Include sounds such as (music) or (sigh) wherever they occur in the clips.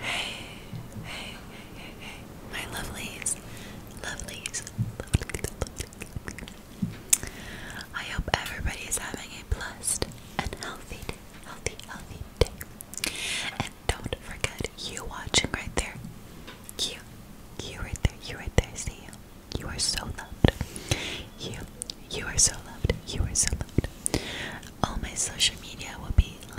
Hey, hey, hey, hey, my lovelies, lovelies, lovelies, lovelies. I hope everybody is having a blessed and healthy, healthy, healthy day. And don't forget, you watching right there, you, you right there, you right there, see you. You are so loved. You, you are so loved. You are so loved. All my social media will be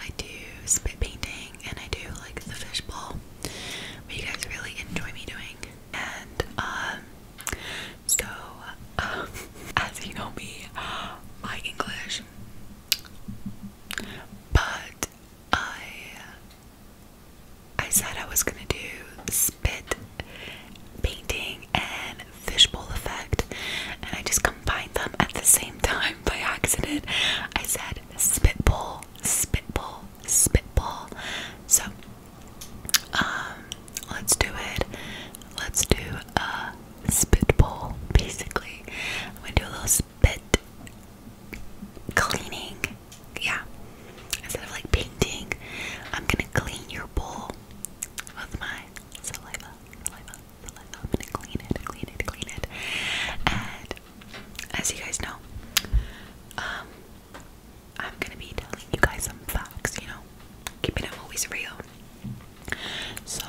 I do spit painting and I do like the fishbowl. But you guys really enjoy me doing. And um so um (laughs) as you know me, I English. But I I said I was gonna do spit painting and fishbowl effect and I just combined them at the same time by accident. I said spitball spitball, spitball. So, um, let's do it. Let's do a spitball, basically. I'm gonna do a little spit cleaning. Yeah. Instead of like painting, I'm gonna clean your bowl with my saliva, saliva, saliva. I'm gonna clean it, clean it, clean it. And as you guys know, um, I'm gonna be telling you guys some facts, you know, keeping them always real. So,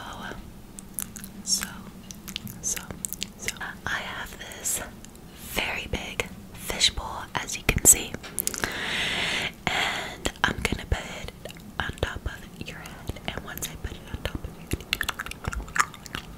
so, so, so, I have this very big fishbowl, as you can see, and I'm gonna put it on top of your head. And once I put it on top of your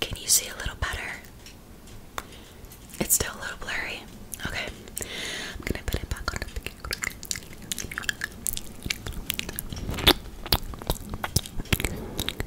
Can you see a little better? It's still a little blurry. Okay. I'm gonna put it back on.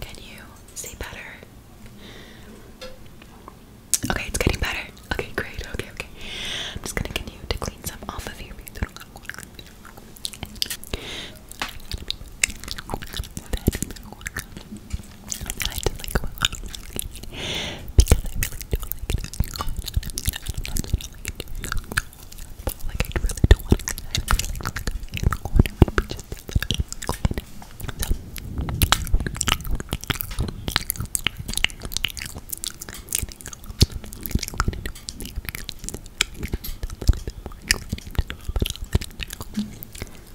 Can you see better? Okay, it's getting better. Okay, great. Okay, okay. I'm just gonna continue to clean some off of here. I just like going on because I really do like it. I'm not saying I like it but like I really don't want to. I feel like like I'm in the corner maybe just a little bit. So I'm gonna go on. I'm gonna clean it up. I'm gonna clean it up a little bit more. I'm gonna just a little bit off.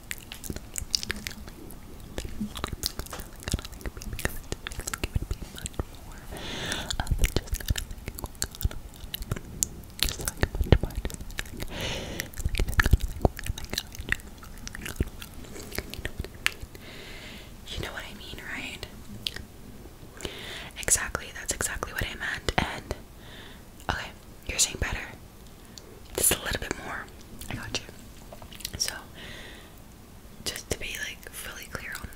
You know what I mean, right? Exactly, that's exactly what I meant. And okay, you're saying better. Just a little bit more. I got you. So, just to be like fully clear on this.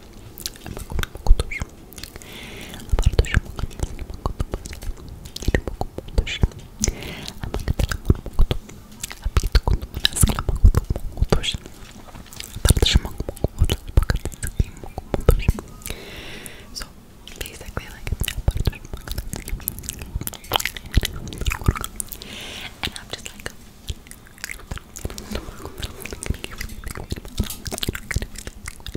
So basically, like, and I'm just like. I'm gonna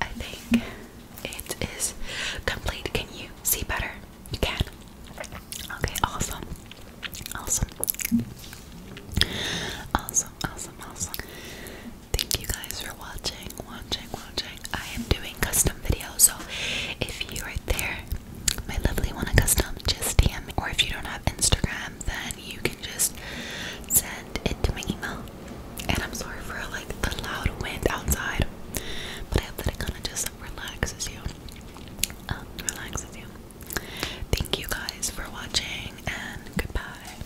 I think it is complete. Can you see better? You can. Okay, awesome. Awesome. Awesome, awesome, awesome. Thank you guys for watching, watching. I am doing custom videos, so if you are there, my lovely want a custom, just DM Or if you don't have Instagram, then you can just send it to my email. And I'm sorry for like the loud wind outside, but I hope that it kind of just relaxes you. Um, relaxes you. Thank you guys for watching, and goodbye.